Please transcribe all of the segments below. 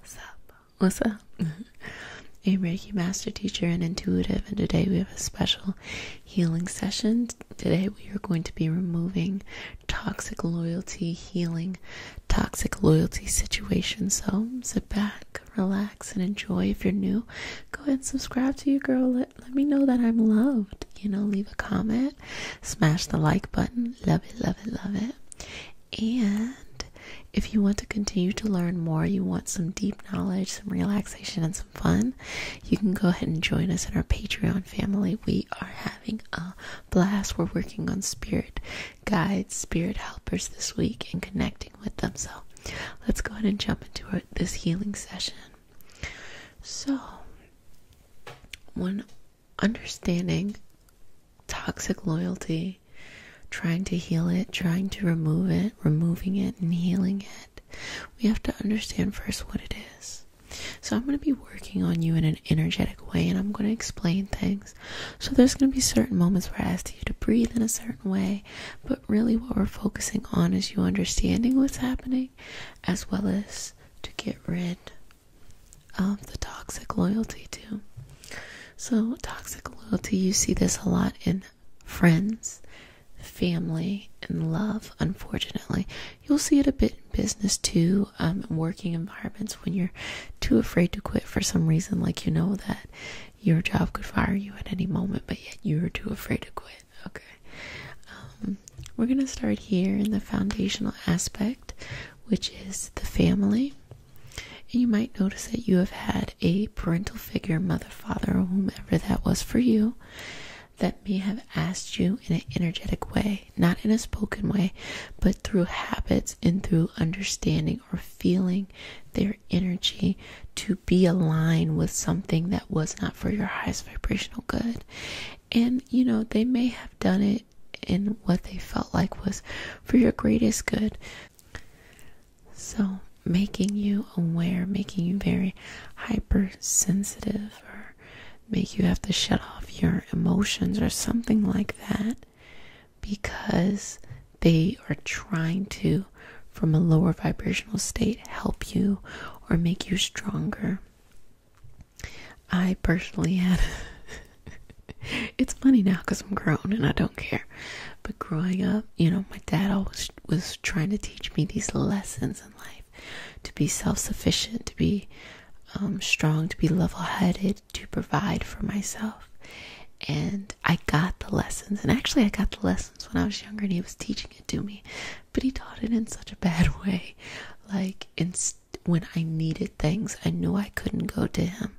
What's up? What's up? Mm-hmm. a Reiki master teacher and intuitive, and today we have a special healing session. Today we are going to be removing toxic loyalty, healing toxic loyalty situations. So sit back, relax, and enjoy. If you're new, go ahead and subscribe to you girl. Let, let me know that I'm loved. You know, leave a comment, smash the like button. Love it, love it, love it. And if you want to continue to learn more, you want some deep knowledge, some relaxation, and some fun, you can go ahead and join us in our Patreon family. We are having a blast. We're working on spirit guides, spirit helpers this week, and connecting with them. So let's go ahead and jump into this healing session. So, one understanding toxic loyalty, trying to heal it, trying to remove it, removing it, and healing it, we have to understand first what it is. So, I'm going to be working on you in an energetic way and I'm going to explain things. So, there's going to be certain moments where I ask you to breathe in a certain way, but really what we're focusing on is you understanding what's happening as well as to get rid of the toxic loyalty too. So toxic loyalty, you see this a lot in friends, family, and love. Unfortunately, you'll see it a bit in business too, um, working environments when you're too afraid to quit for some reason. Like you know that your job could fire you at any moment, but yet you're too afraid to quit. Okay, um, we're gonna start here in the foundational aspect which is the family. And you might notice that you have had a parental figure, mother, father, or whomever that was for you, that may have asked you in an energetic way, not in a spoken way, but through habits and through understanding or feeling their energy to be aligned with something that was not for your highest vibrational good. And you know, they may have done it it in what they felt like was for your greatest good. So, making you aware, making you very hypersensitive, or make you have to shut off your emotions or something like that because they are trying to, from a lower vibrational state, help you or make you stronger. I personally had it's funny now because I'm grown and I don't care, but growing up, you know, my dad always was trying to teach me these lessons in life to be self sufficient, to be um, strong, to be level headed, to provide for myself. And I got the lessons, and actually, I got the lessons when I was younger, and he was teaching it to me, but he taught it in such a bad way like in when I needed things, I knew I couldn't go to him.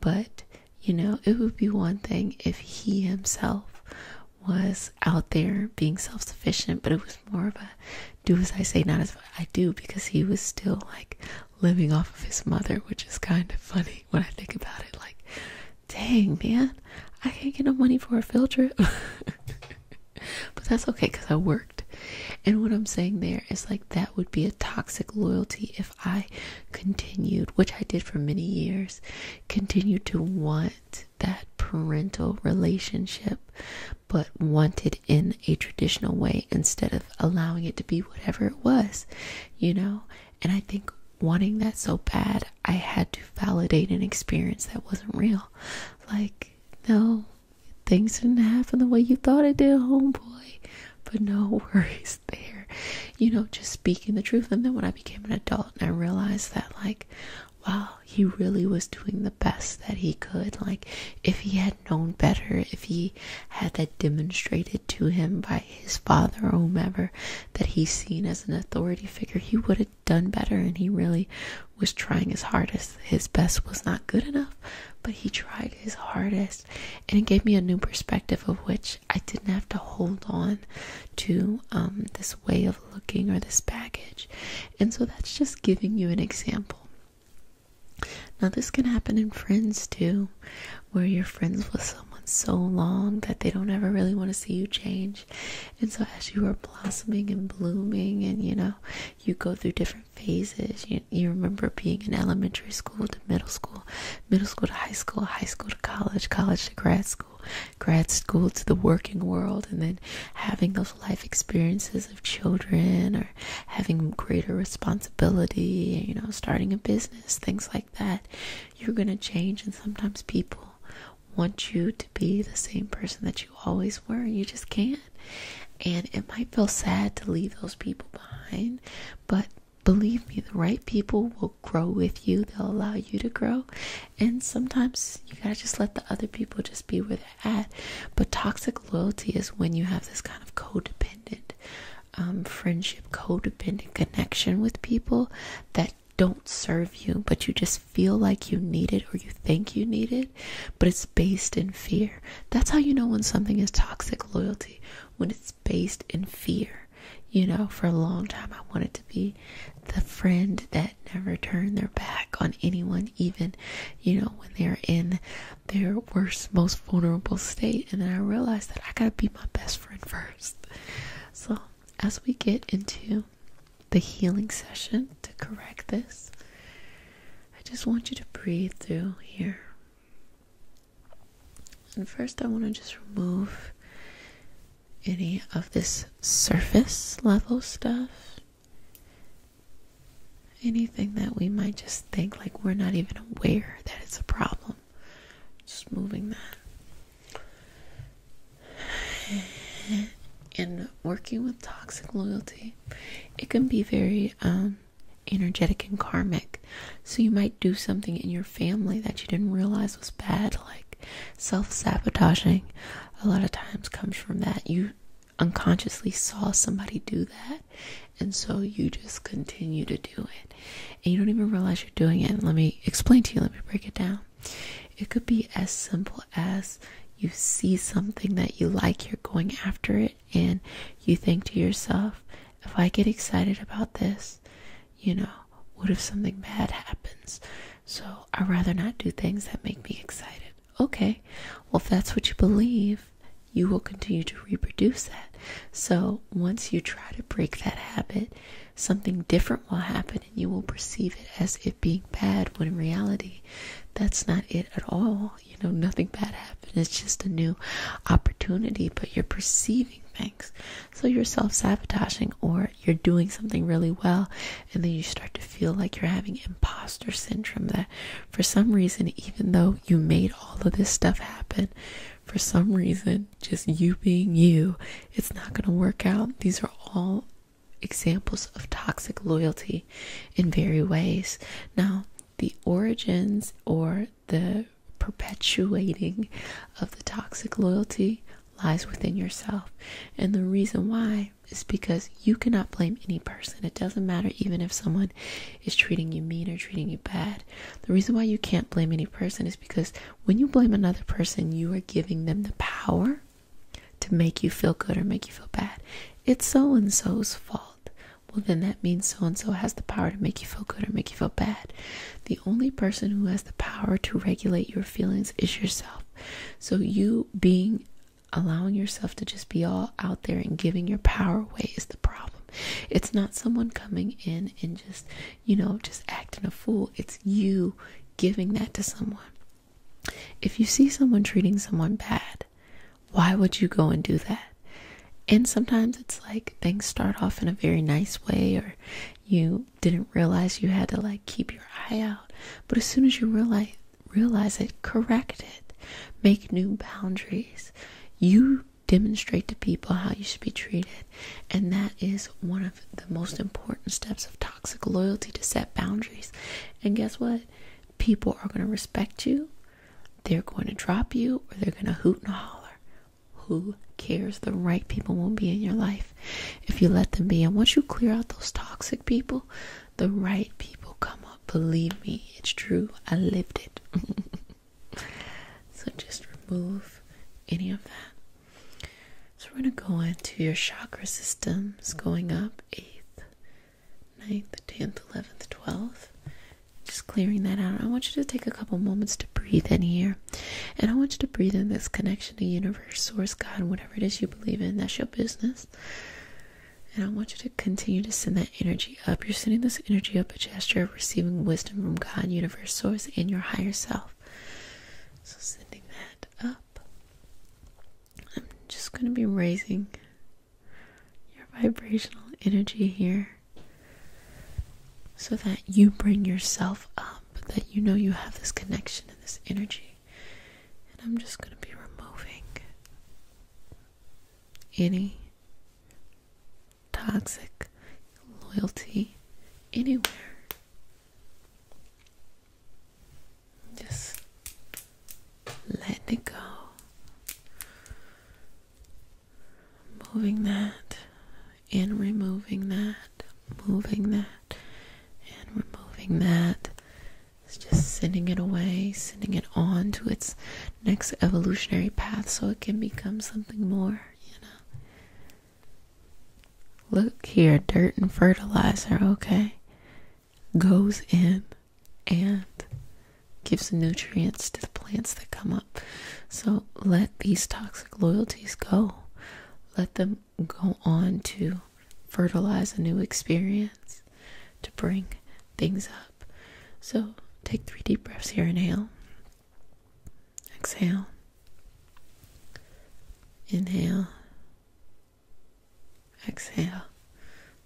But, you know, it would be one thing if he himself was out there being self sufficient, but it was more of a do as I say, not as I do, because he was still like living off of his mother, which is kind of funny when I think about it. Like, dang, man, I can't get no money for a field trip. but that's okay because I worked. And what I'm saying there is like that would be a toxic loyalty if I continued, which I did for many years, continued to want that parental relationship, but wanted in a traditional way instead of allowing it to be whatever it was, you know? And I think wanting that so bad, I had to validate an experience that wasn't real. Like, no, things didn't happen the way you thought it did, homeboy. But no worries there. You know, just speaking the truth. And then when I became an adult and I realized that, like, well, he really was doing the best that he could. Like, if he had known better, if he had that demonstrated to him by his father or whomever that he's seen as an authority figure, he would have done better and he really was trying his hardest. His best was not good enough, but he tried his hardest and it gave me a new perspective of which I didn't have to hold on to um, this way of looking or this baggage. And so that's just giving you an example. Now, this can happen in friends too, where you're friends with someone so long that they don't ever really want to see you change. And so, as you are blossoming and blooming, and you know, you go through different phases. You, you remember being in elementary school to middle school, middle school to high school, high school to college, college to grad school, grad school to the working world, and then having those life experiences of children or having greater responsibility, you know, starting a business, things like that. You're going to change, and sometimes people want you to be the same person that you always were. You just can't. And it might feel sad to leave those people behind, but believe me, the right people will grow with you. They'll allow you to grow. And sometimes you gotta just let the other people just be where they're at. But toxic loyalty is when you have this kind of codependent um, friendship, codependent connection with people that don't serve you, but you just feel like you need it or you think you need it, but it's based in fear. That's how you know when something is toxic loyalty, when it's based in fear. You know, for a long time, I wanted to be the friend that never turned their back on anyone, even, you know, when they're in their worst, most vulnerable state. And then I realized that I gotta be my best friend first. So, as we get into the healing session to correct this. I just want you to breathe through here. And first, I want to just remove any of this surface level stuff. Anything that we might just think like we're not even aware that it's a problem. Just moving that. and working with toxic loyalty, it can be very um, energetic and karmic. So you might do something in your family that you didn't realize was bad, like self sabotaging. A lot of times comes from that. You unconsciously saw somebody do that, and so you just continue to do it, and you don't even realize you're doing it. let me explain to you, let me break it down. It could be as simple as you see something that you like, you're going after it, and you think to yourself, if I get excited about this, you know, what if something bad happens? So I'd rather not do things that make me excited. Okay, well, if that's what you believe, you will continue to reproduce that. So once you try to break that habit, something different will happen and you will perceive it as if being bad when in reality that's not it at all. You know, nothing bad happened. It's just a new opportunity, but you're perceiving things. So you're self sabotaging or you're doing something really well and then you start to feel like you're having imposter syndrome that for some reason even though you made all of this stuff happen for some reason just you being you it's not going to work out these are all examples of toxic loyalty in very ways. Now, the origins or the perpetuating of the toxic loyalty lies within yourself. And the reason why is because you cannot blame any person. It doesn't matter even if someone is treating you mean or treating you bad. The reason why you can't blame any person is because when you blame another person, you are giving them the power to make you feel good or make you feel bad. It's so and so's fault. Well, then that means so and so has the power to make you feel good or make you feel bad. The only person who has the power to regulate your feelings is yourself. So, you being allowing yourself to just be all out there and giving your power away is the problem. It's not someone coming in and just, you know, just acting a fool. It's you giving that to someone. If you see someone treating someone bad, why would you go and do that? And sometimes it's like things start off in a very nice way, or you didn't realize you had to like keep your eye out. But as soon as you realize realize it, correct it, make new boundaries. You demonstrate to people how you should be treated. And that is one of the most important steps of toxic loyalty to set boundaries. And guess what? People are going to respect you, they're going to drop you, or they're going to hoot and holler. Who cares? The right people won't be in your life if you let them be. And once you clear out those toxic people, the right people come up. Believe me, it's true. I lived it. so just remove any of that. So we're going to go into your chakra systems going up 8th, 9th, 10th, 11th, 12th. Just clearing that out. I want you to take a couple moments to breathe in here. And I want you to breathe in this connection to universe, source, God, whatever it is you believe in. That's your business. And I want you to continue to send that energy up. You're sending this energy up a gesture of receiving wisdom from God, universe, source, and your higher self. So sending that up. I'm just going to be raising your vibrational energy here so that you bring yourself up, that you know you have this connection and this energy. And I'm just going to be removing any toxic loyalty anywhere just let it go. Moving that and removing that, moving that and removing that. It's just sending it away, sending it on to its next evolutionary path so it can become something more, you know. Look here, dirt and fertilizer, okay? Goes in and gives nutrients to the plants that come up. So let these toxic loyalties go. Let them go on to fertilize a new experience, to bring things up. So take three deep breaths here. Inhale. Exhale. Inhale. Exhale.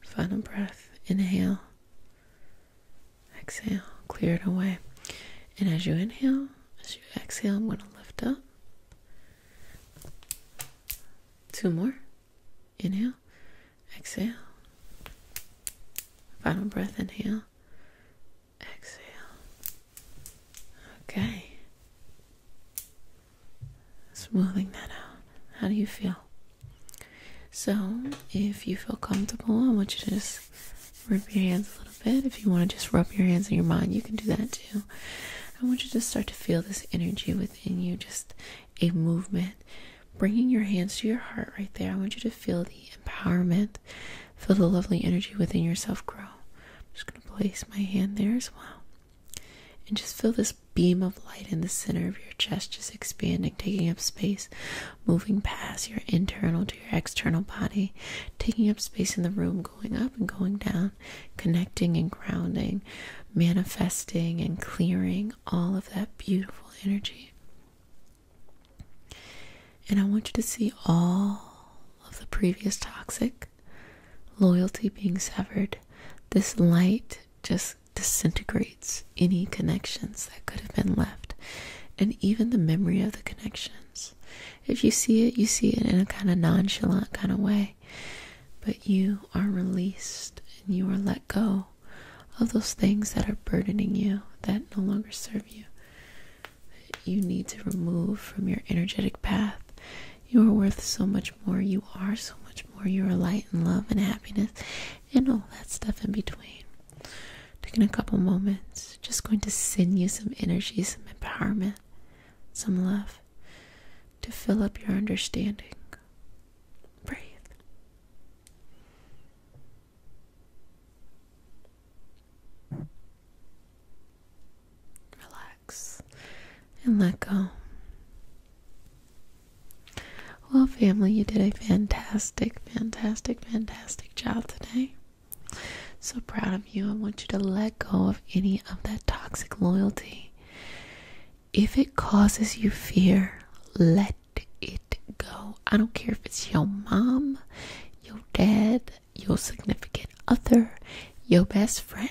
Final breath. Inhale. Exhale. Clear it away. And as you inhale, as you exhale, I'm going to lift up. Two more. Inhale. Exhale. Final breath. Inhale exhale. Okay. Smoothing that out. How do you feel? So, if you feel comfortable, I want you to just rub your hands a little bit. If you want to just rub your hands in your mind, you can do that too. I want you to start to feel this energy within you, just a movement. Bringing your hands to your heart right there, I want you to feel the empowerment Feel the lovely energy within yourself grow. I'm just going to place my hand there as well. And just feel this beam of light in the center of your chest, just expanding, taking up space, moving past your internal to your external body, taking up space in the room, going up and going down, connecting and grounding, manifesting and clearing all of that beautiful energy. And I want you to see all of the previous toxic loyalty being severed. This light just disintegrates any connections that could have been left, and even the memory of the connections. If you see it, you see it in a kind of nonchalant kind of way. But you are released and you are let go of those things that are burdening you, that no longer serve you you need to remove from your energetic path. You are worth so much more. You are so much more. You are light and love and happiness and all that stuff in between. Taking a couple moments, just going to send you some energy, some empowerment, some love to fill up your understanding. Breathe. Relax and let go. Well, family, you did a fantastic, fantastic, fantastic job today. So proud of you. I want you to let go of any of that toxic loyalty. If it causes you fear, let it go. I don't care if it's your mom, your dad, your significant other, your best friend,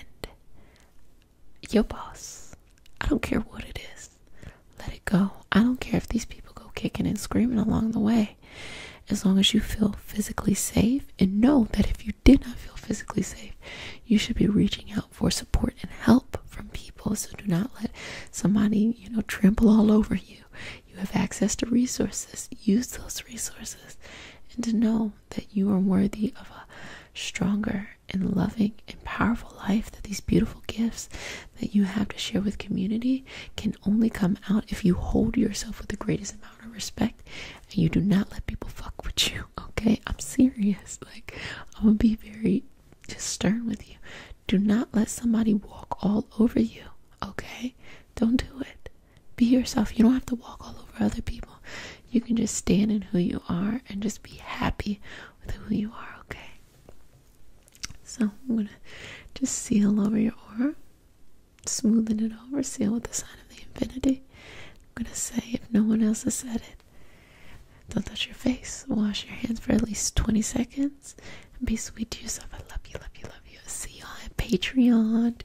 your boss. I don't care what it is. Let it go. I don't care if these people go kicking and screaming along the way. As long as you feel physically safe and know that if you did not feel physically safe, you should be reaching out for support and help from people. So do not let somebody, you know, trample all over you. You have access to resources. Use those resources and to know that you are worthy of a stronger and loving and powerful life that these beautiful gifts that you have to share with community can only come out if you hold yourself with the greatest amount of respect and you do not let people fuck with you okay i'm serious like i'm gonna be very just stern with you do not let somebody walk all over you, okay? Don't do it. Be yourself. You don't have to walk all over other people. You can just stand in who you are and just be happy with who you are, okay? So I'm going to just seal over your aura, smoothing it over, seal with the sign of the infinity. I'm going to say, if no one else has said it, don't touch your face. Wash your hands for at least 20 seconds. Be sweet to yourself. I love you, love you, love you. See y'all at Patreon.